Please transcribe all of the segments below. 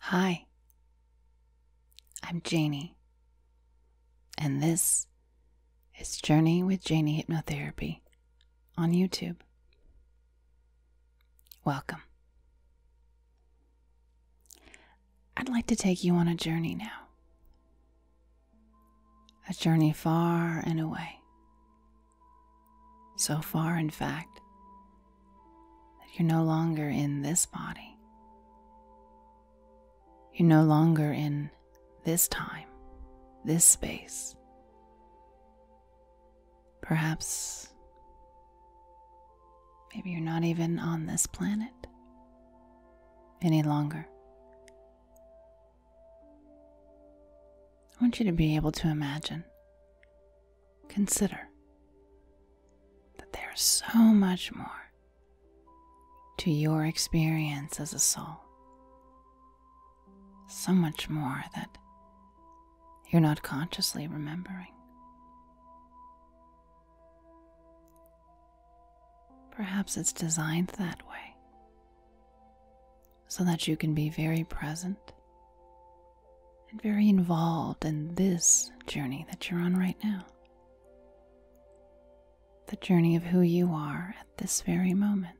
Hi, I'm Janie, and this is Journey with Janie Hypnotherapy on YouTube. Welcome. I'd like to take you on a journey now, a journey far and away. So far, in fact, that you're no longer in this body. You're no longer in this time, this space. Perhaps, maybe you're not even on this planet any longer. I want you to be able to imagine consider that there is so much more to your experience as a soul. So much more that you're not consciously remembering. Perhaps it's designed that way so that you can be very present and very involved in this journey that you're on right now. The journey of who you are at this very moment.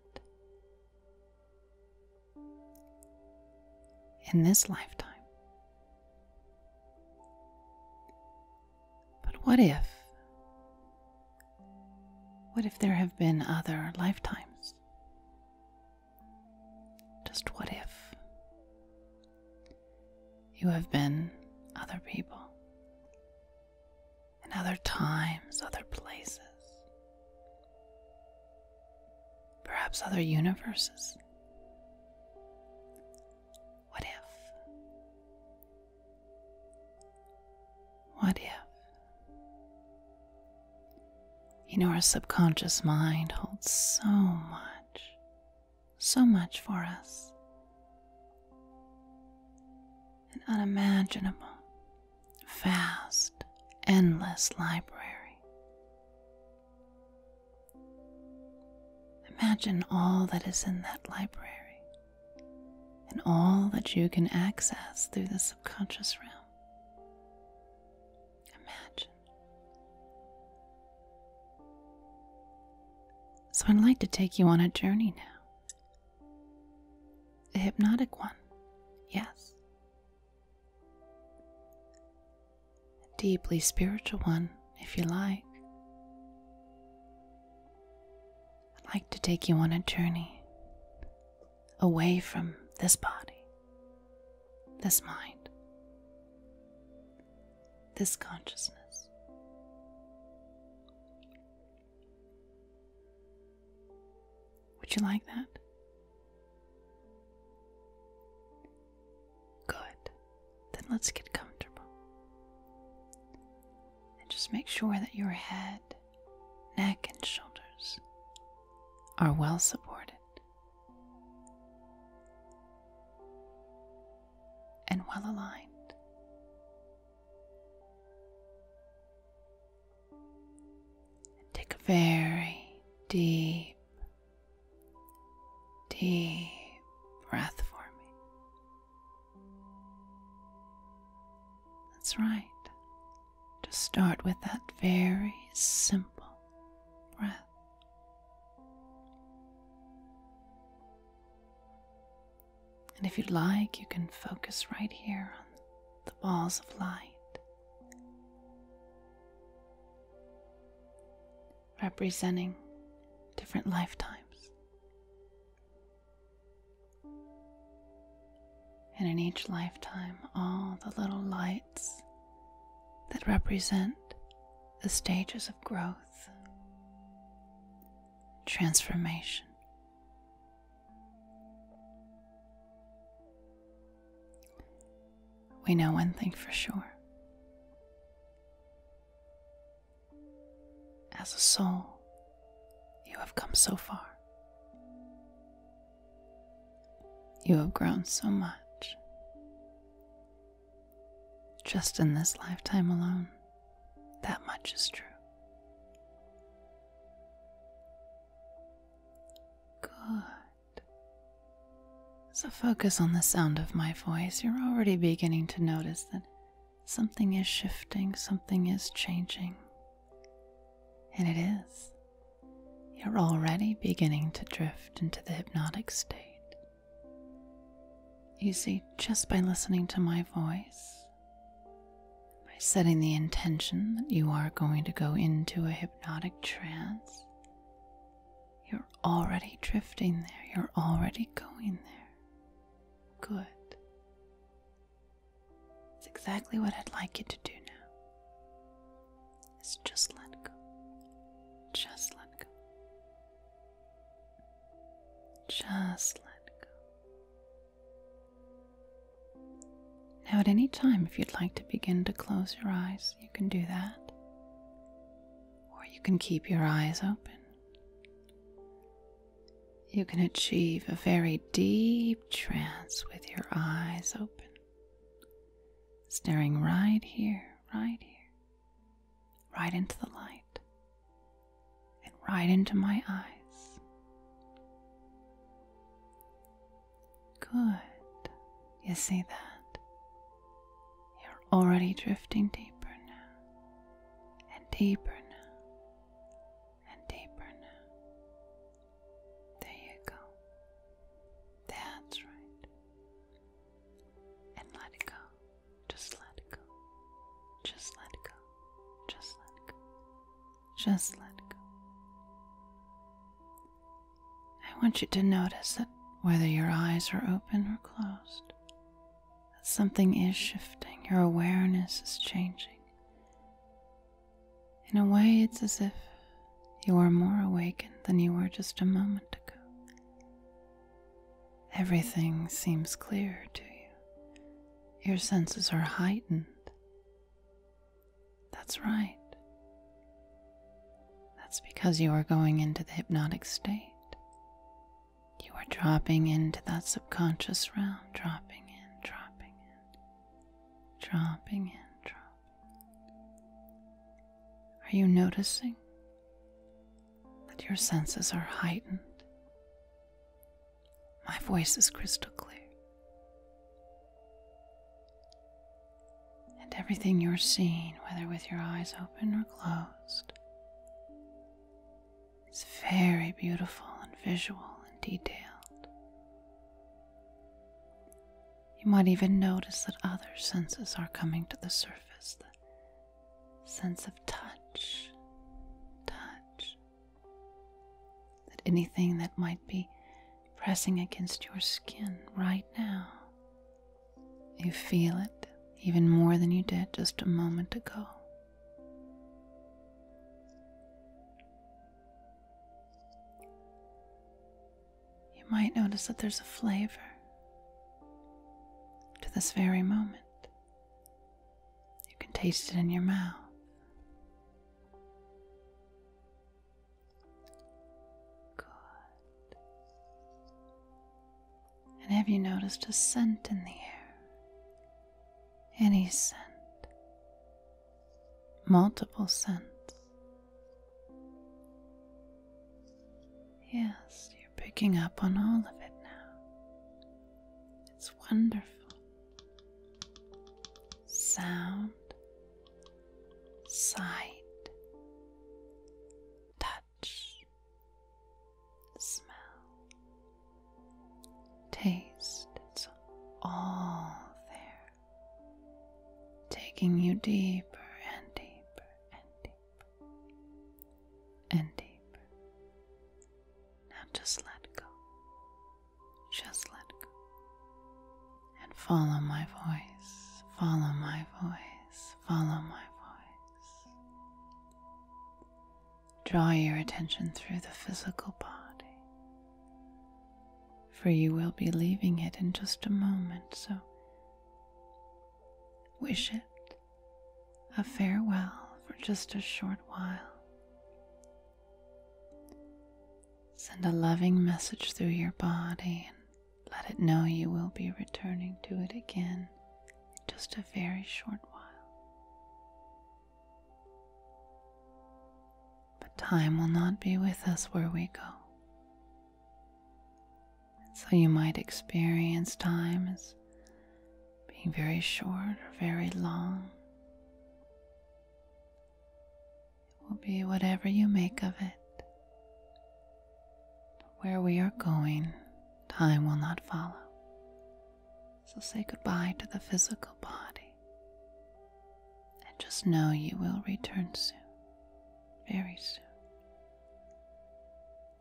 In this lifetime. But what if? What if there have been other lifetimes? Just what if you have been other people in other times, other places, perhaps other universes? What if? What if? You know, our subconscious mind holds so much, so much for us, an unimaginable, vast, endless library. Imagine all that is in that library and all that you can access through the subconscious realm. Imagine. So, I'd like to take you on a journey now. A hypnotic one, yes. A deeply spiritual one, if you like. I'd like to take you on a journey away from this body this mind, this consciousness. Would you like that? Good. Then let's get comfortable. And just make sure that your head, neck, and shoulders are well supported and well aligned. take a very deep, deep breath for me. That's right. Just start with that very simple breath. And if you'd like, you can focus right here on the balls of light, representing different lifetimes. And in each lifetime, all the little light that represent the stages of growth, transformation. We know one thing for sure. As a soul, you have come so far. You have grown so much. Just in this lifetime alone, that much is true. Good. So focus on the sound of my voice. You're already beginning to notice that something is shifting, something is changing. And it is. You're already beginning to drift into the hypnotic state. You see, just by listening to my voice, by setting the intention that you are going to go into a hypnotic trance, you're already drifting there, you're already going there. Good. It's exactly what I'd like you to do now is just let go. Just let go. Just let go. Now, at any time, if you'd like to begin to close your eyes, you can do that. Or you can keep your eyes open. You can achieve a very deep trance with your eyes open, staring right here, right here right into the light and right into my eyes. Good. You see that? You're already drifting deeper now, and deeper now, and deeper now. There you go. That's right and let it go. Just let it go. Just let it go. Just let it go. Just let it go. I want you to notice that whether your eyes are open or closed, that something is shifting, your awareness is changing. In a way, it's as if you are more awakened than you were just a moment ago. Everything seems clear to you. Your senses are heightened. That's right. That's because you are going into the hypnotic state. You are dropping into that subconscious realm, dropping in, dropping in, dropping in, dropping. Are you noticing that your senses are heightened. My voice is crystal clear. And everything you're seeing, whether with your eyes open or closed, is very beautiful and visual and detailed. You might even notice that other senses are coming to the surface sense of touch, touch. That anything that might be pressing against your skin right now, you feel it even more than you did just a moment ago you might notice that there's a flavor to this very moment. You can taste it in your mouth. And have you noticed a scent in the air? Any scent? Multiple scents. Yes, you're picking up on all of it now. It's wonderful. Sound, sight, touch, smell, taste. It's all there, taking you deeper and deeper and deeper and deeper. Now just let go. Just let go. And follow my voice. Follow my voice. Follow my voice. Draw your attention through the physical body. For you will be leaving it in just a moment, so Wish it a farewell for just a short while. Send a loving message through your body and let it know you will be returning to it again in just a very short while. But time will not be with us where we go. So you might experience time as being very short or very long. It will be whatever you make of it. Where we are going, time will not follow. So say goodbye to the physical body and just know you will return soon very soon.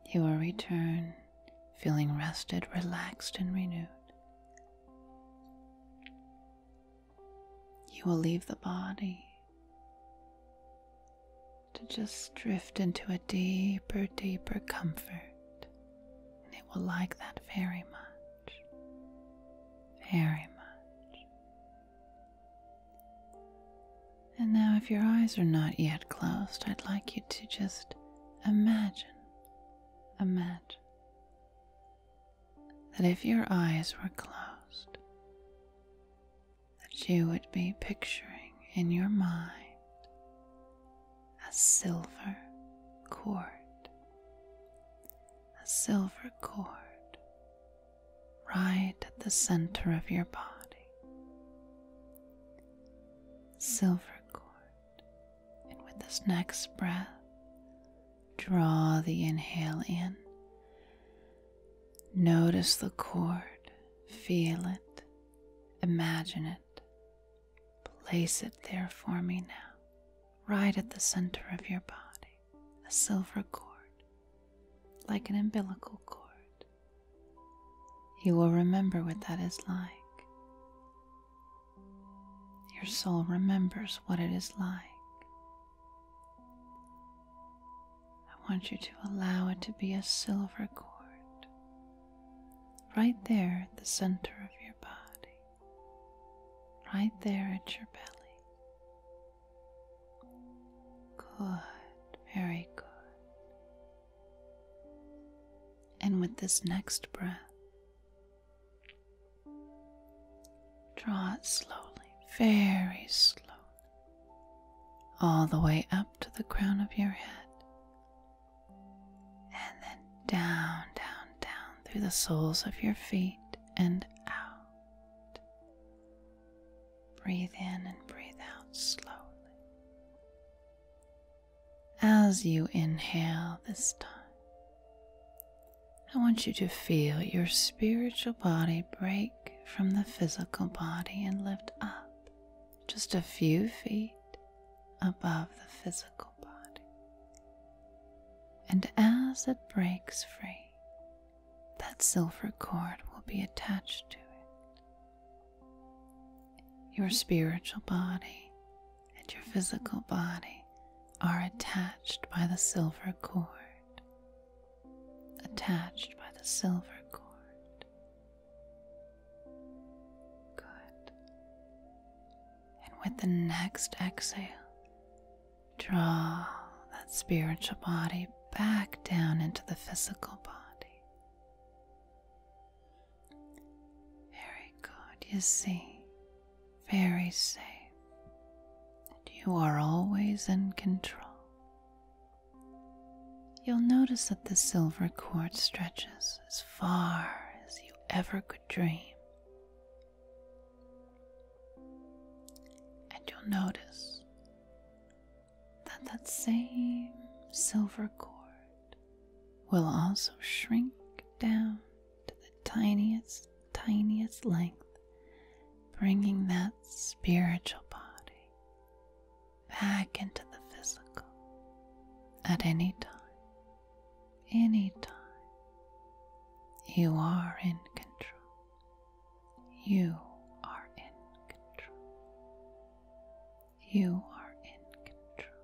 You will return feeling rested, relaxed, and renewed. You will leave the body to just drift into a deeper, deeper comfort, and it will like that very much. Very much. And now, if your eyes are not yet closed, I'd like you to just imagine, imagine that if your eyes were closed, that you would be picturing in your mind a silver cord, a silver cord right at the center of your body. Silver cord, and with this next breath, draw the inhale in. Notice the cord, feel it, imagine it, place it there for me now, right at the center of your body, a silver cord like an umbilical cord. You will remember what that is like. Your soul remembers what it is like. I want you to allow it to be a silver cord right there at the center of your body, right there at your belly. Good, very good. And with this next breath, draw it slowly, very slowly, all the way up to the crown of your head, and then down, down, down through the soles of your feet and out. Breathe in and breathe out slowly. As you inhale this time, I want you to feel your spiritual body break from the physical body and lift up just a few feet above the physical body. And as it breaks free, that silver cord will be attached to it, your spiritual body and your physical body are attached by the silver cord. Attached by the silver cord. Good. And with the next exhale, draw that spiritual body back down into the physical body. Very good, you see, very safe. And you are always in control. You'll notice that the silver cord stretches as far as you ever could dream. And you'll notice that that same silver cord will also shrink down to the tiniest, tiniest length, bringing that spiritual body back into the physical at any time. Any time. You are in control. You are in control. You are in control.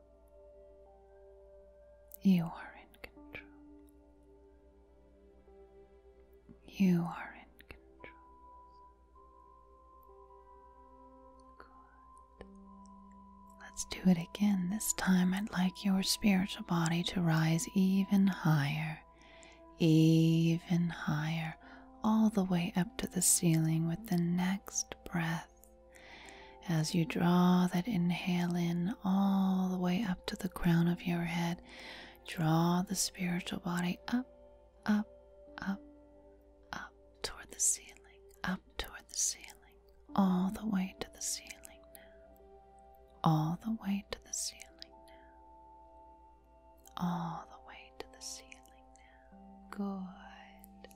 You are in control. You are in control. Let's do it again. This time I'd like your spiritual body to rise even higher, even higher, all the way up to the ceiling with the next breath. As you draw that inhale in all the way up to the crown of your head, draw the spiritual body up, up, up, up toward the ceiling, up toward the ceiling, all the way to the ceiling now, all the way to the ceiling now all the way to the ceiling now. Good.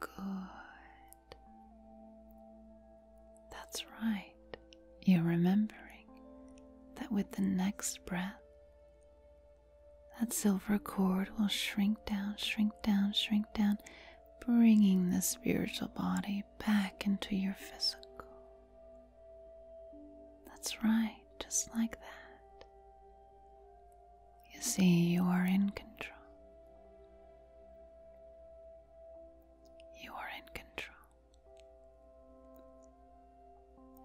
Good. That's right. You're remembering that with the next breath, that silver cord will shrink down, shrink down, shrink down, bringing the spiritual body back into your physical. That's right, just like that. You see, you are in control. You are in control.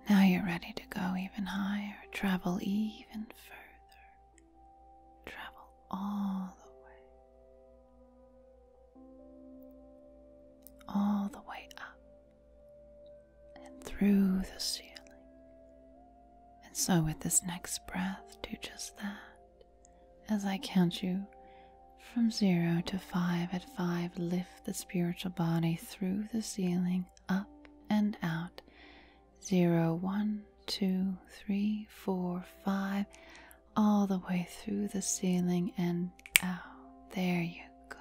Now you're ready to go even higher, travel even further, travel all the way, all the way up and through the ceiling. And so, with this next breath, do just that. As I count you from zero to five, at five, lift the spiritual body through the ceiling, up and out. Zero, one, two, three, four, five, all the way through the ceiling and out. There you go.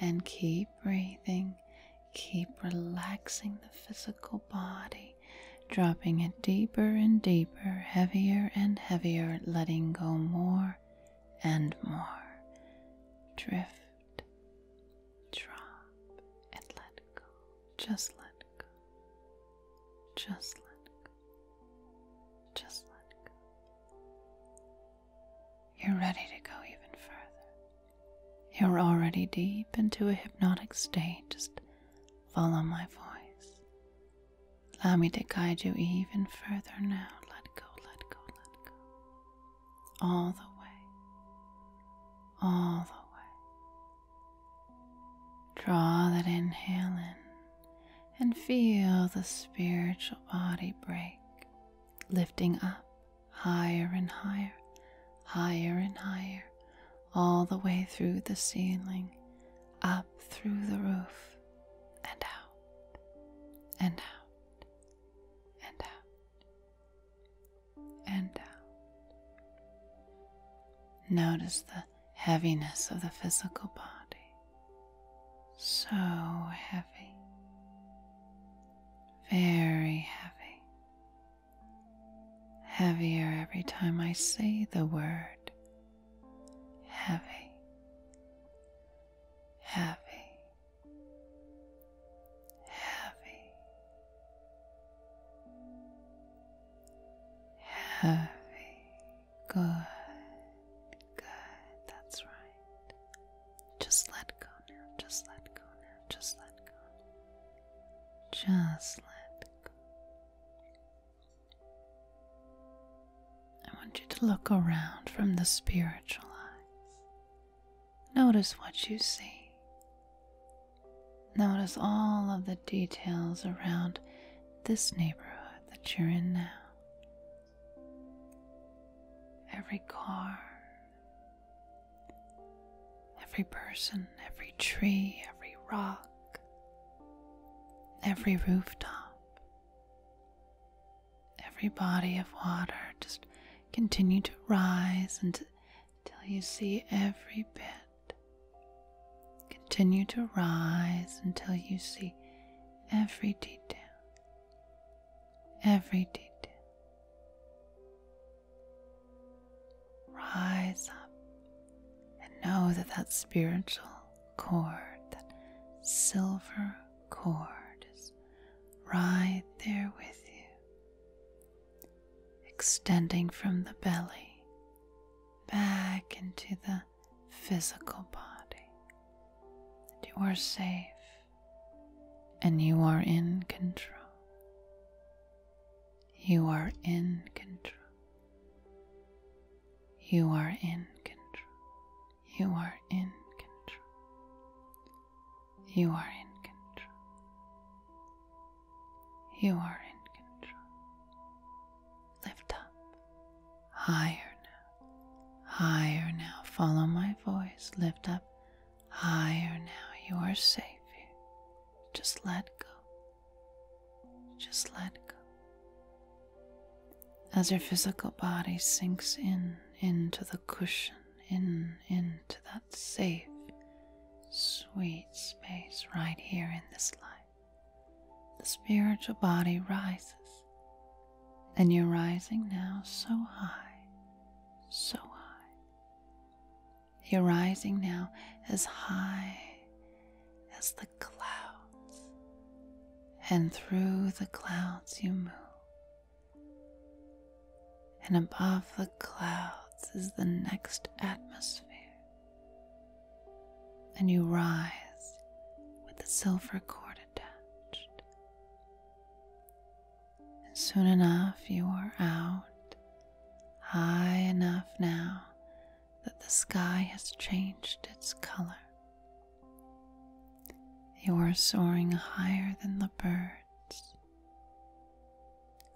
And keep breathing Keep relaxing the physical body, dropping it deeper and deeper, heavier and heavier, letting go more and more. Drift, drop, and let go. Just let go. Just let go. Just let go. You're ready to go even further. You're already deep into a hypnotic state. Just follow my voice. Allow me to guide you even further now. Let go, let go, let go. All the way. All the way. Draw that inhale in and feel the spiritual body break, lifting up higher and higher, higher and higher, all the way through the ceiling, up through the roof, and out, and out, and out, and out. Notice the heaviness of the physical body. So heavy, very heavy, heavier every time I say the word heavy, heavy. Heavy, heavy, good, good, that's right. Just let go now. Just let go now. Just let go. Just let go. I want you to look around from the spiritual eyes. Notice what you see. Notice all of the details around this neighborhood that you're in now. Every car, Every person, every tree, every rock, every rooftop, every body of water. Just continue to rise until you see every bit. Continue to rise until you see every detail, every detail. Rise up and know that that spiritual cord, that silver cord, is right there with you, extending from the belly back into the physical body. That you are safe and you are in control. You are in control. You are in control. You are in control. You are in control. You are in control. Lift up. Higher now. Higher now. Follow my voice. Lift up higher now. You are safe Just let go. Just let go. As your physical body sinks in into the cushion, in into that safe, sweet space right here in this life, the spiritual body rises. And you're rising now so high, so high you're rising now as high as the clouds, and through the clouds you move. And above the clouds is the next atmosphere, and you rise with the silver cord attached. And soon enough, you are out, high enough now that the sky has changed its color. You are soaring higher than the birds,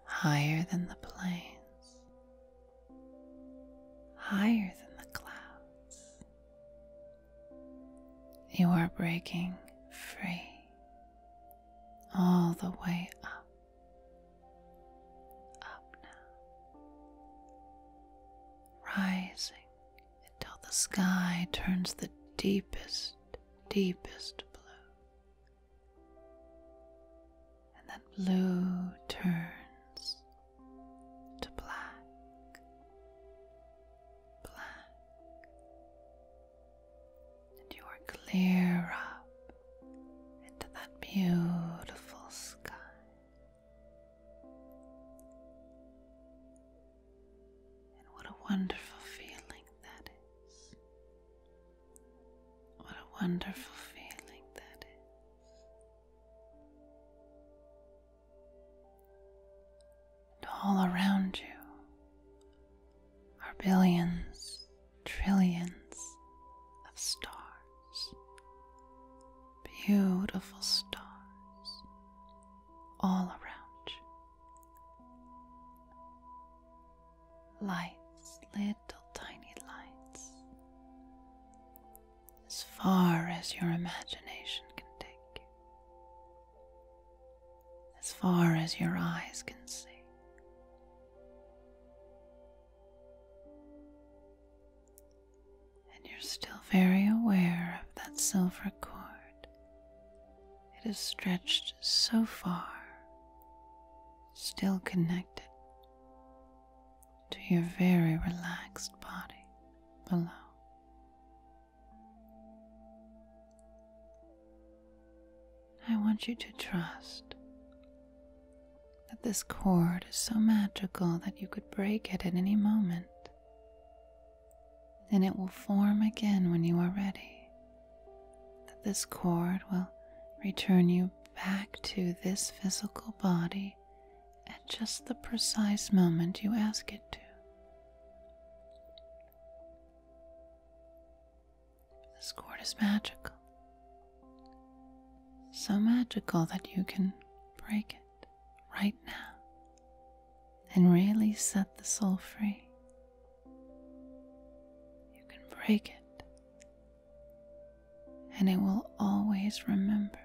higher than the planes, higher than the clouds. You are breaking free all the way up, up now, rising until the sky turns the deepest, deepest blue, and that blue turns to black, black, and you are clear up into that beautiful sky. And what a wonderful feeling that is. What a wonderful feeling that is. And all around you are billions, trillions of stars. Beautiful stars all around you. Lights, little tiny lights, as far as your imagination can take as far as your eyes can see. And you're still very aware of that silver cord. It is stretched so far, still connected to your very relaxed body below. I want you to trust that this cord is so magical that you could break it at any moment, and it will form again when you are ready. That this cord will return you back to this physical body at just the precise moment you ask it to. This cord is magical. So magical that you can break it right now and really set the soul free. You can break it, and it will always remember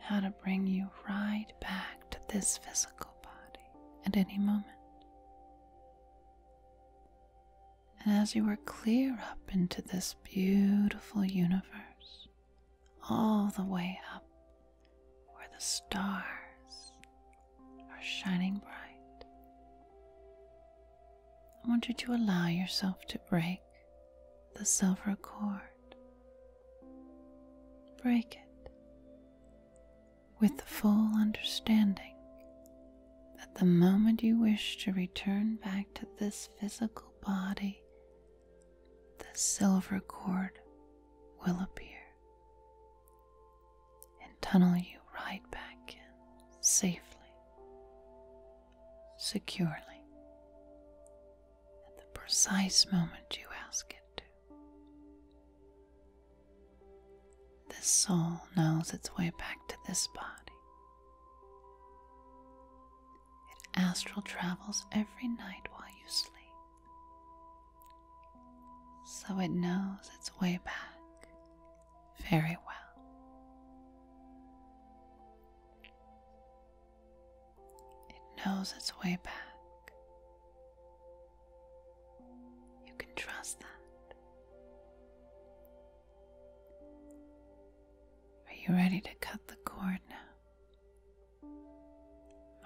how to bring you right back to this physical body at any moment. And as you are clear up into this beautiful universe, all the way up where the stars are shining bright, I want you to allow yourself to break the silver cord. Break it with the full understanding that the moment you wish to return back to this physical body, the silver cord will appear and tunnel you right back in safely, securely, at the precise moment you ask it to. The soul knows its way back to this body. It astral travels every night while you sleep. So it knows its way back very well. It knows its way back you can trust that. Are you ready to cut the cord now?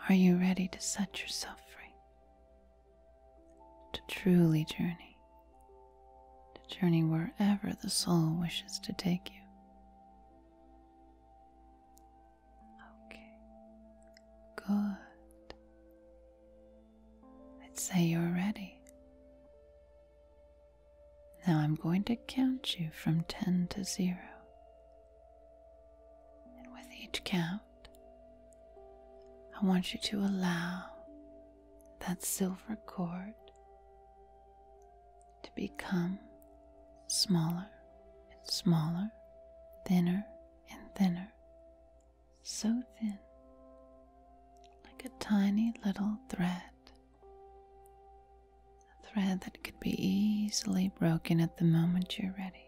Are you ready to set yourself free? To truly journey? To journey wherever the soul wishes to take you? Okay, good. I'd say you're ready. Now I'm going to count you from 10 to 0. And with each count, I want you to allow that silver cord to become smaller and smaller, thinner and thinner, so thin, like a tiny little thread, a thread that could be easily broken at the moment you're ready.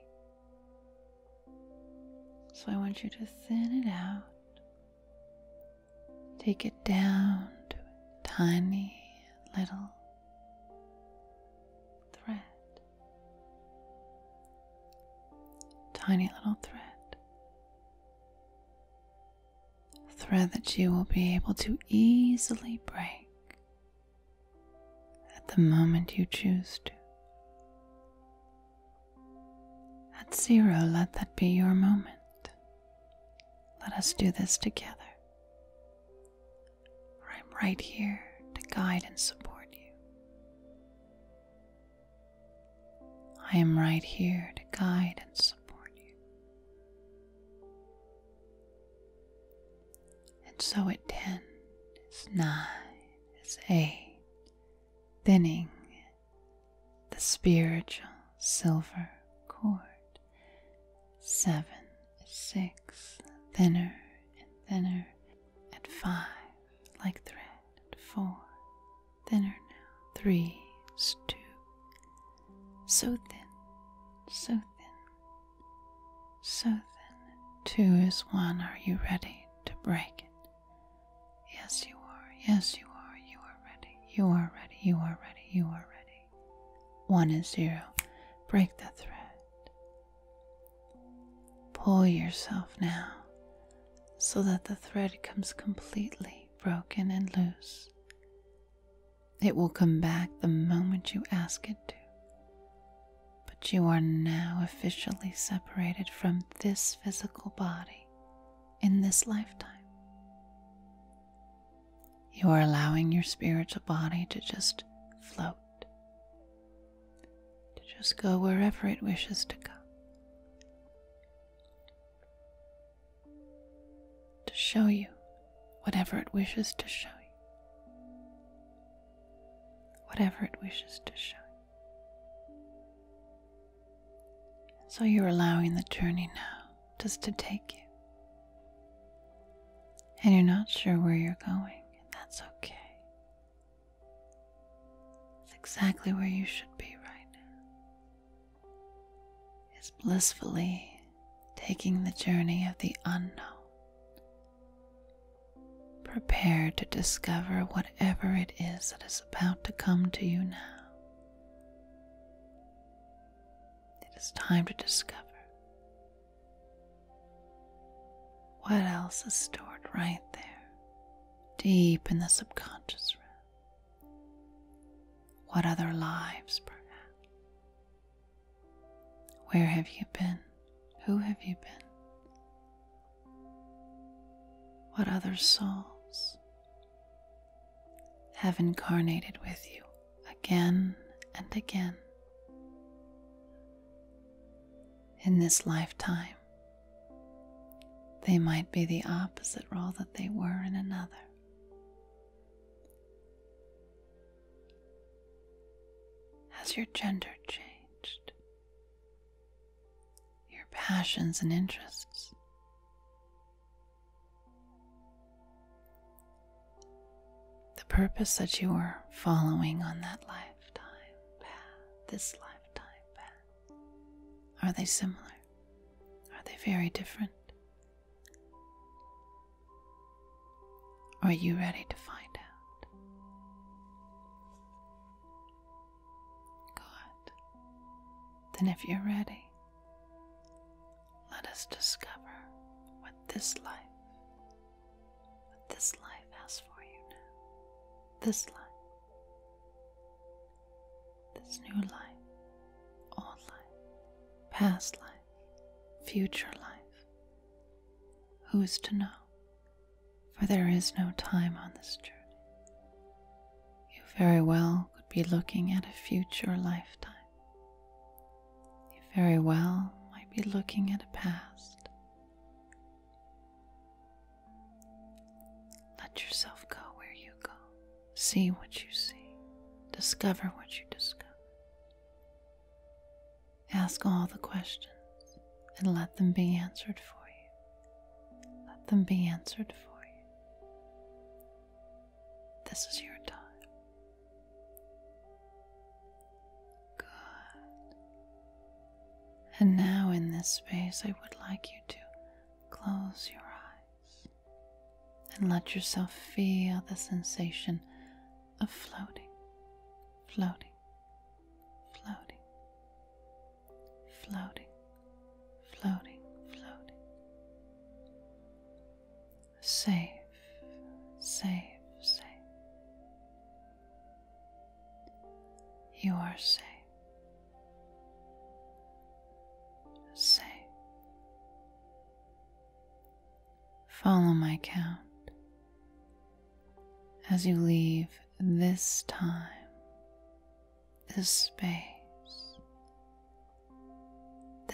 So I want you to thin it out. Take it down to a tiny little thread tiny little thread. thread that you will be able to easily break at the moment you choose to. At zero, let that be your moment. Let us do this together. I'm right here to guide and support you. I am right here to guide and support you. And so at ten, it's nine, it's eight, thinning the spiritual silver cord. Seven, six, thinner and thinner at five like thread, four, thinner now, three two, so thin, so thin, so thin, two is one. Are you ready to break it? Yes, you are, yes, you are, you are ready, you are ready, you are ready, you are ready. One is zero, break the thread, Pull yourself now so that the thread comes completely broken and loose. It will come back the moment you ask it to. But you are now officially separated from this physical body in this lifetime. You are allowing your spiritual body to just float to just go wherever it wishes to go. To show you whatever it wishes to show you. Whatever it wishes to show you. so you're allowing the journey now just to take you. And you're not sure where you're going, and that's okay. It's exactly where you should be right now. It's blissfully taking the journey of the unknown. Prepared to discover whatever it is that is about to come to you now. It is time to discover what else is stored right there, deep in the subconscious What other lives, perhaps? Where have you been? Who have you been? What other souls have incarnated with you again and again in this lifetime they might be the opposite role that they were in another. Has your gender changed? Your passions and interests? The purpose that you were following on that lifetime path, this lifetime. Are they similar? Are they very different? Are you ready to find out? Good. Then, if you're ready, let us discover what this life, what this life has for you now this life, this new life, old life, past life, future life. Who is to know? For there is no time on this journey. You very well could be looking at a future lifetime. You very well might be looking at a past. Let yourself go where you go. See what you see. Discover what you discover. Ask all the questions and let them be answered for you. Let them be answered for you. This is your time. Good. And now, in this space, I would like you to close your eyes and let yourself feel the sensation of floating, floating, floating, floating, floating, floating. Safe, safe, safe. You are safe. Safe. Follow my count as you leave this time, this space,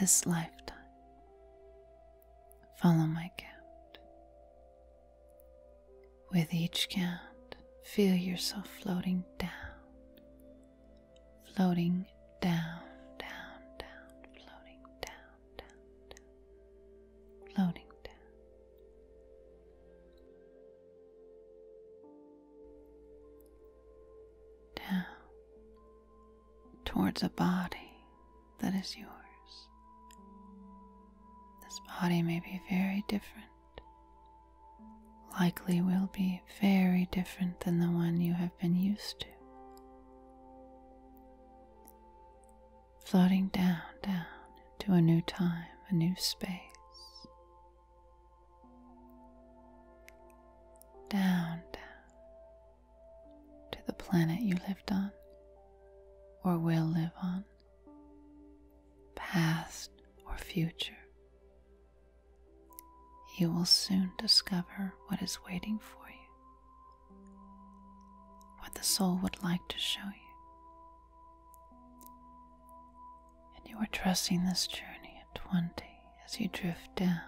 this lifetime. Follow my count. With each count, feel yourself floating down, floating down, down, down, floating down, down, down, floating down. Down towards a body that is yours. This body may be very different likely will be very different than the one you have been used to. Floating down, down to a new time, a new space. Down, down to the planet you lived on or will live on past or future. You will soon discover what is waiting for you, what the soul would like to show you. And you are trusting this journey at 20 as you drift down,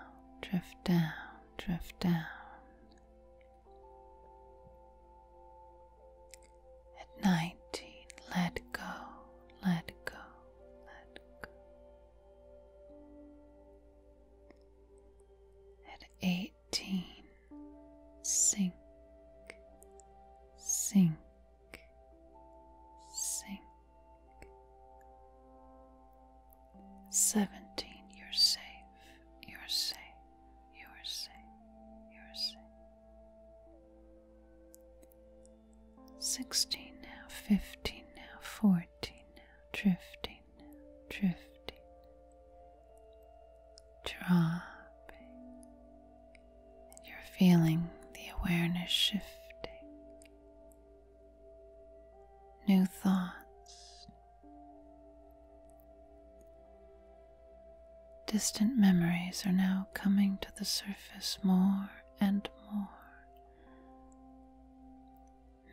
drift down, drift down. At 19, let go, let go, let go. At 18, sink, sink, sink. 17, you're safe, you're safe, you're safe, you're safe. Sixteen now, fifteen now, fourteen now, drifting drifting, dropping, and you're feeling the awareness shifting. New thoughts, Distant memories are now coming to the surface more and more.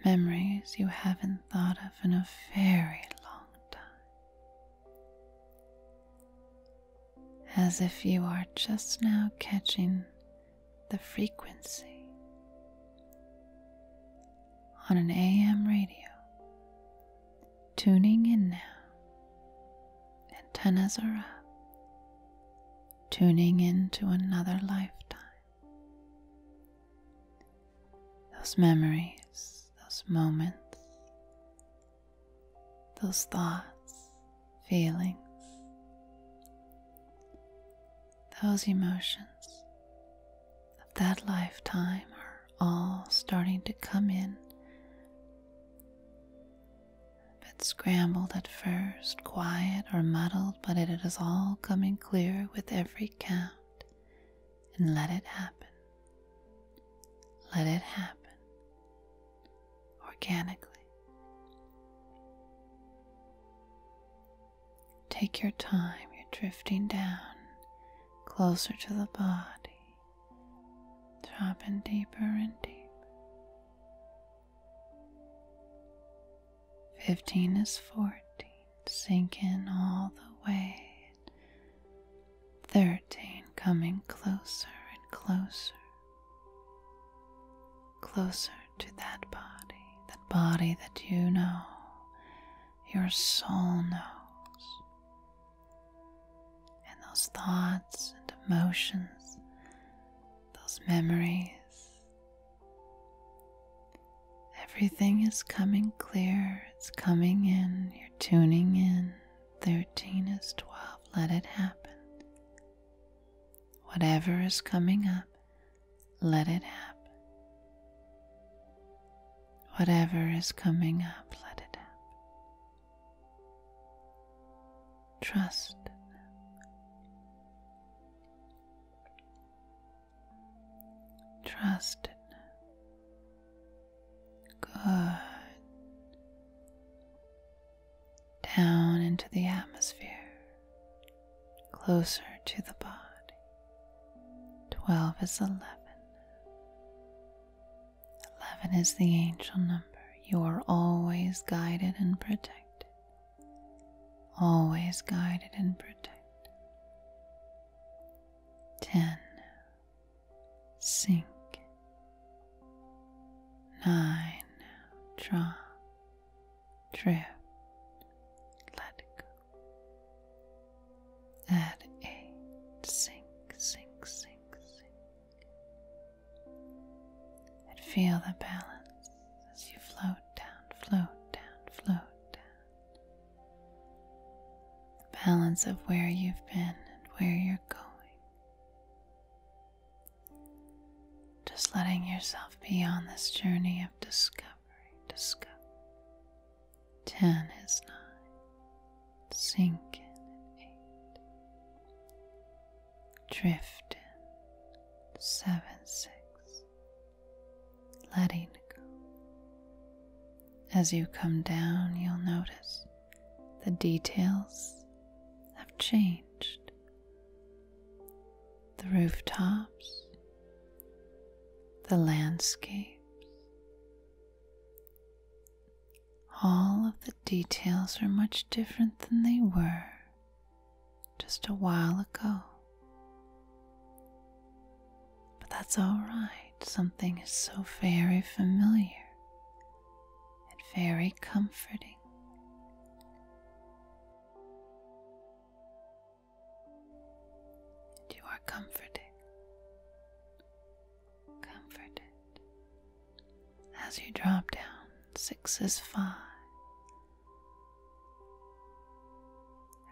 Memories you haven't thought of in a very long time. As if you are just now catching the frequency on an AM radio tuning in now. Antennas are up, tuning into another lifetime. Those memories, those moments, those thoughts, feelings, those emotions of that lifetime are all starting to come in a scrambled at first, quiet or muddled, but it is all coming clear with every count. And let it happen. Let it happen. Organically. Take your time, you're drifting down closer to the body. Dropping deeper and deeper. 15 is 14, sinking all the way. 13 coming closer and closer, closer to that body, that body that you know, your soul knows. And those thoughts and emotions, those memories, everything is coming clear, it's coming in, you're tuning in. 13 is 12, let it happen. Whatever is coming up, let it happen. Whatever is coming up, let it happen. Trust Trust Good. Down into the atmosphere. Closer to the body. Twelve is eleven. Eleven is the angel number. You are always guided and protected. Always guided and protected. Ten. Sink. Nine. Draw. Drift. Let go. At eight. Sink, sink, sink, sink. And feel the balance as you float down, float down, float down. The balance of where you've been and where you're going. Just letting yourself be on this journey of discovery, discovery. Ten is nine. Sinking in eight. Drift seven six. Letting go. As you come down, you'll notice the details have changed. The rooftops, the landscapes, all of the details are much different than they were just a while ago. But that's alright, something is so very familiar and very comforting. You are comforted comforted. As you drop down, six is five.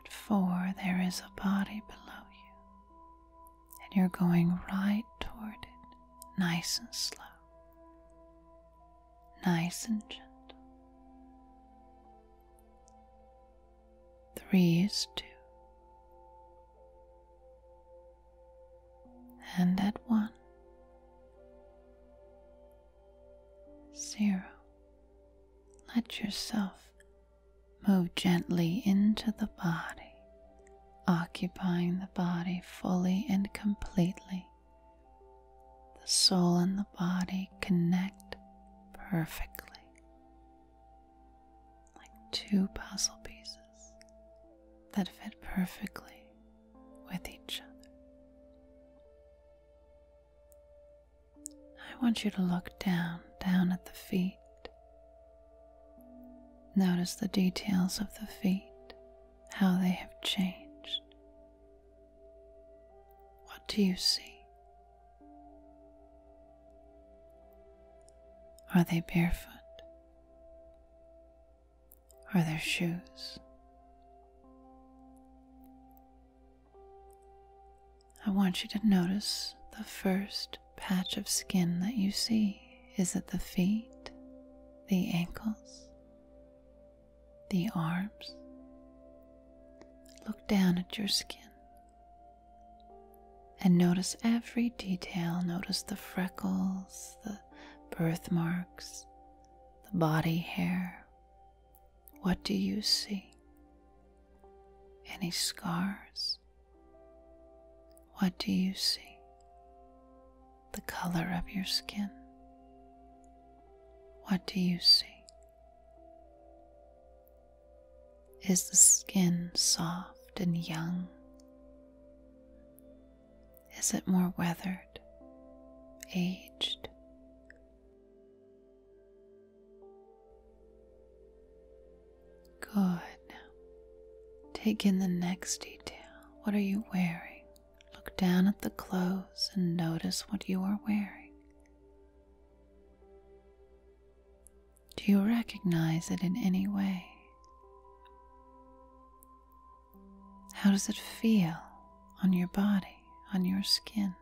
At four, there is a body below you, and you're going right toward it, nice and slow, nice and gentle. Three is two and at one, zero, let yourself move gently into the body, occupying the body fully and completely. The soul and the body connect perfectly like two puzzle pieces that fit perfectly with each other. I want you to look down, down at the feet. Notice the details of the feet, how they have changed. What do you see? Are they barefoot? Are their shoes. I want you to notice the first patch of skin that you see. Is it the feet, the ankles, the arms? Look down at your skin and notice every detail. Notice the freckles, the birthmarks, the body hair. What do you see? Any scars? What do you see? The color of your skin. What do you see? Is the skin soft and young? Is it more weathered, aged? Good. Take in the next detail. What are you wearing? Look down at the clothes and notice what you are wearing. Do you recognize it in any way? How does it feel on your body, on your skin?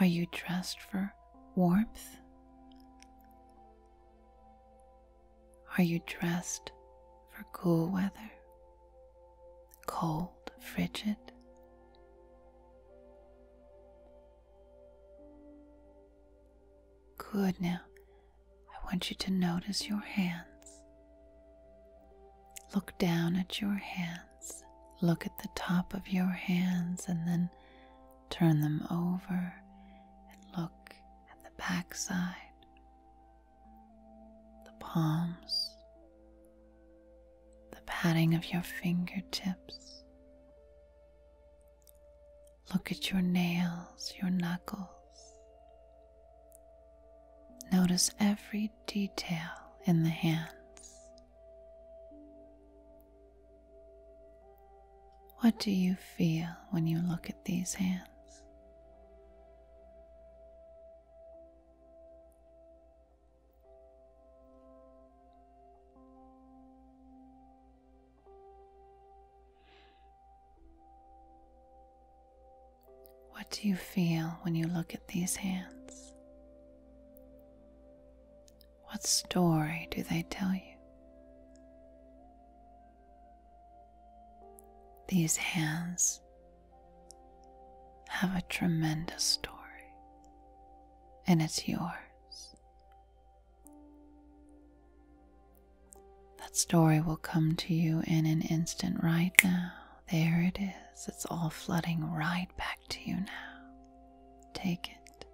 Are you dressed for warmth? Are you dressed for cool weather? Cold, frigid? Good now. I want you to notice your hands. Look down at your hands. Look at the top of your hands and then turn them over and look at the backside, the palms, the padding of your fingertips, Look at your nails, your knuckles. Notice every detail in the hands. What do you feel when you look at these hands? What do you feel when you look at these hands? What story do they tell you? These hands have a tremendous story, and it's yours that story will come to you in an instant right now. There it is. It's all flooding right back to you now. Take it.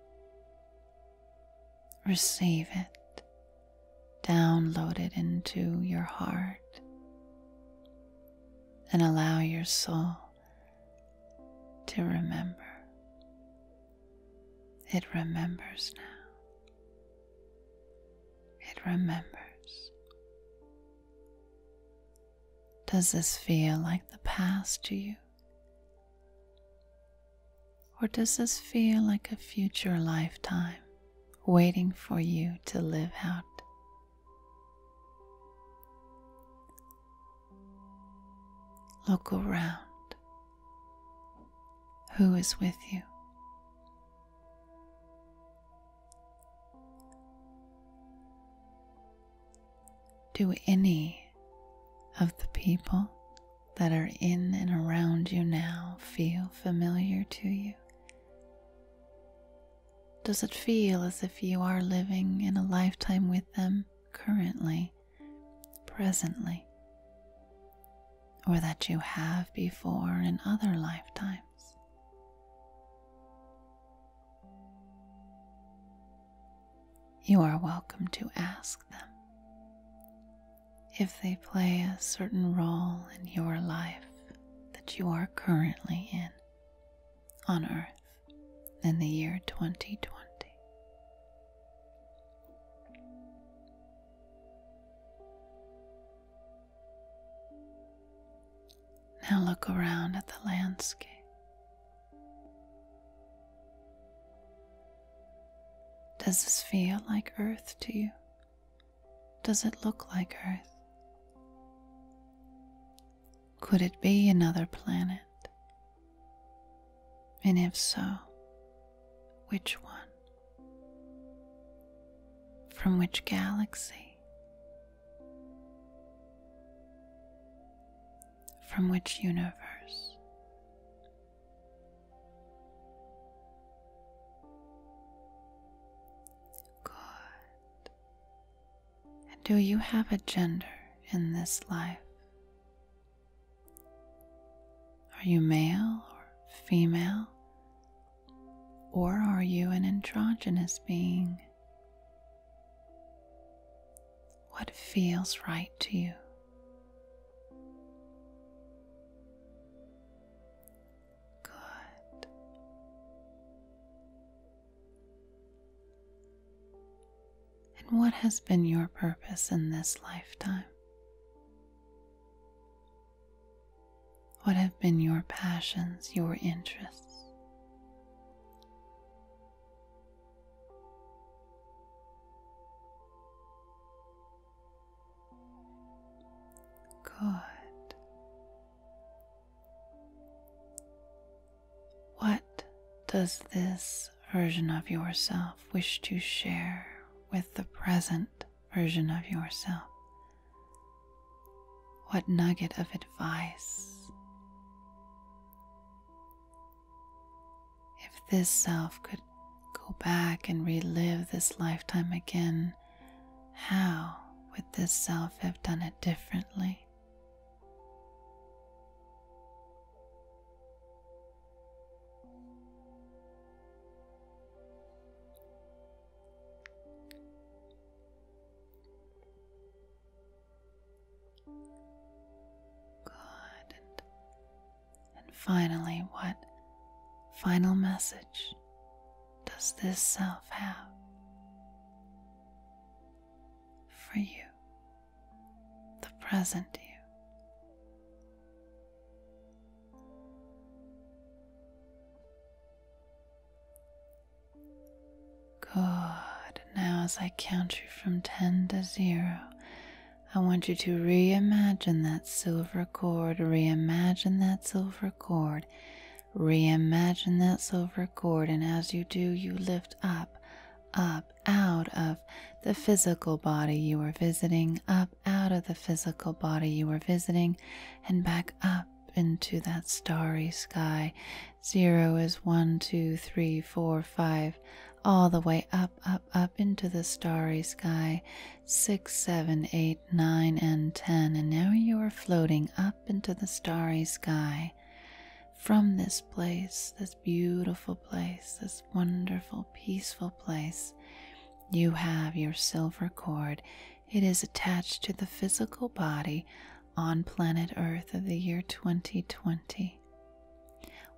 Receive it. Download it into your heart. And allow your soul to remember. It remembers now. It remembers. Does this feel like the past to you? Or does this feel like a future lifetime waiting for you to live out? Look around who is with you. Do any of the people that are in and around you now feel familiar to you? Does it feel as if you are living in a lifetime with them currently, presently? or that you have before in other lifetimes. You are welcome to ask them if they play a certain role in your life that you are currently in on Earth in the year 2020. Now look around at the landscape. Does this feel like Earth to you? Does it look like Earth? Could it be another planet? And if so, which one? From which galaxy? From which universe? Good. do you have a gender in this life? Are you male or female? Or are you an androgynous being? What feels right to you? Good. And what has been your purpose in this lifetime? What have been your passions, your interests? Good. What does this version of yourself wish to share with the present version of yourself? What nugget of advice? If this self could go back and relive this lifetime again, how would this self have done it differently? Good. And, finally, what final message does this self have for you, the present you? Good. Now, as I count you from 10 to 0, I want you to reimagine that silver cord, reimagine that silver cord, reimagine that silver cord, and as you do, you lift up, up, out of the physical body you are visiting, up out of the physical body you were visiting and back up into that starry sky. Zero is one, two, three, four, five, all the way up, up, up into the starry sky. Six, seven, eight, nine, and ten. And now you are floating up into the starry sky. From this place, this beautiful place, this wonderful peaceful place. You have your silver cord. It is attached to the physical body on planet Earth of the year 2020.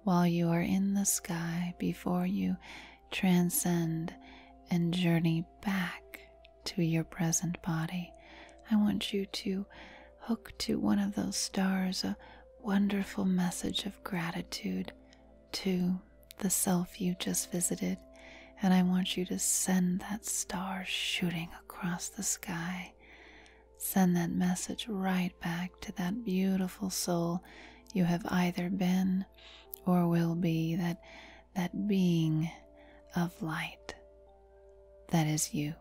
While you are in the sky, before you transcend and journey back to your present body, I want you to hook to one of those stars a wonderful message of gratitude to the self you just visited, and I want you to send that star shooting across the sky. Send that message right back to that beautiful soul you have either been or will be that that being of light that is you.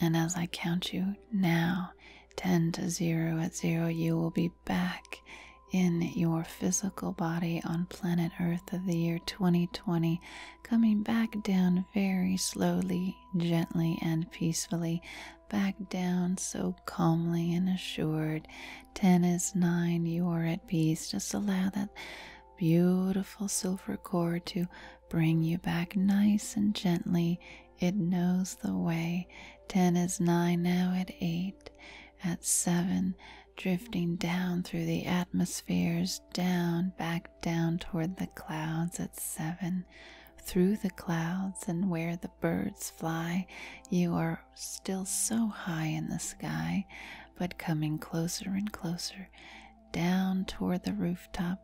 And as I count you now, 10 to 0 at 0, you will be back in your physical body on planet Earth of the year 2020, coming back down very slowly, gently, and peacefully. Back down so calmly and assured. 10 is 9, you are at peace. Just allow that beautiful silver cord to bring you back nice and gently. It knows the way. 10 is 9, now at 8 at seven, drifting down through the atmospheres, down, back down toward the clouds at seven, through the clouds and where the birds fly. You are still so high in the sky, but coming closer and closer, down toward the rooftop,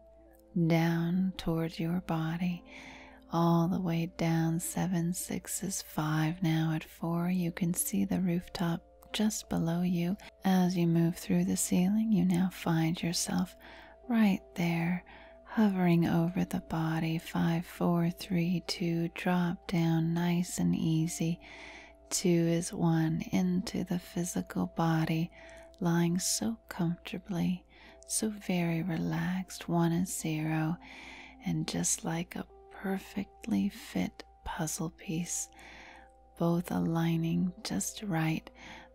down toward your body all the way down. Seven, six is five now at four. You can see the rooftop just below you. As you move through the ceiling, you now find yourself right there, hovering over the body. Five, four, three, two, drop down nice and easy. Two is one into the physical body, lying so comfortably, so very relaxed. One is zero and just like a perfectly fit puzzle piece, both aligning just right,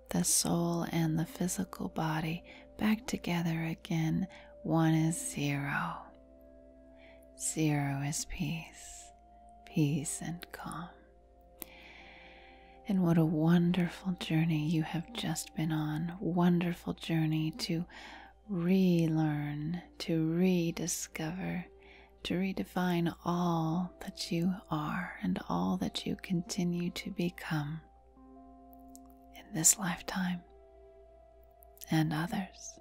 the soul and the physical body back together again. One is zero. Zero is peace, peace and calm. And what a wonderful journey you have just been on. Wonderful journey to relearn, to rediscover, to redefine all that you are and all that you continue to become in this lifetime and others.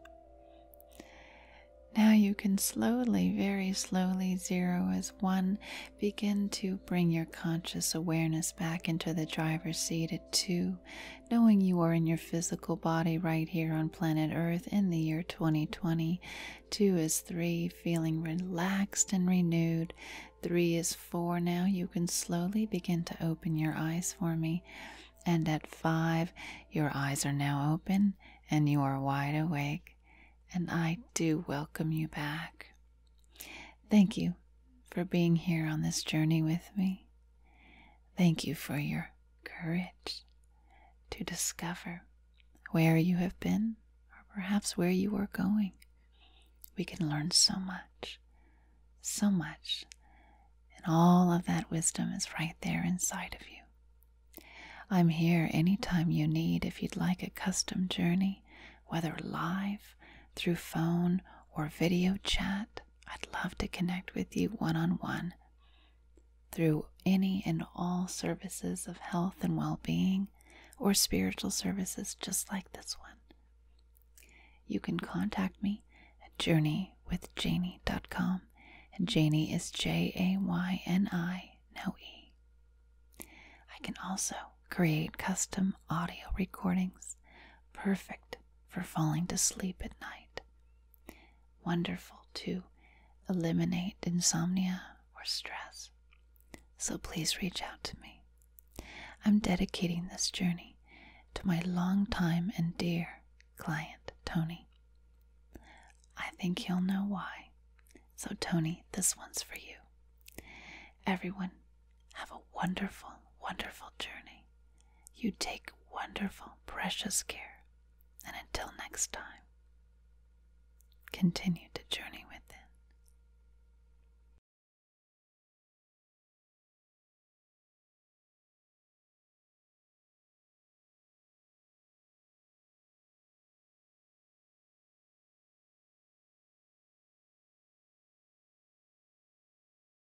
Now you can slowly, very slowly, zero as one, begin to bring your conscious awareness back into the driver's seat Two, knowing you are in your physical body right here on planet Earth in the year 2020. Two is three, feeling relaxed and renewed. Three is four. Now you can slowly begin to open your eyes for me. And at five, your eyes are now open and you are wide awake. And I do welcome you back. Thank you for being here on this journey with me. Thank you for your courage to discover where you have been or perhaps where you are going. We can learn so much, so much, and all of that wisdom is right there inside of you. I'm here anytime you need if you'd like a custom journey, whether live, through phone, or video chat. I'd love to connect with you one on one through any and all services of health and well being or spiritual services just like this one. You can contact me at journeywithjanie.com. And Janie is J A Y N I, no E. I can also create custom audio recordings perfect for falling to sleep at night. Wonderful to eliminate insomnia or stress. So please reach out to me. I'm dedicating this journey to my longtime and dear client, Tony. I think he'll know why. So, Tony, this one's for you. Everyone, have a wonderful, wonderful journey. You take wonderful, precious care, and until next time, continue to journey with within.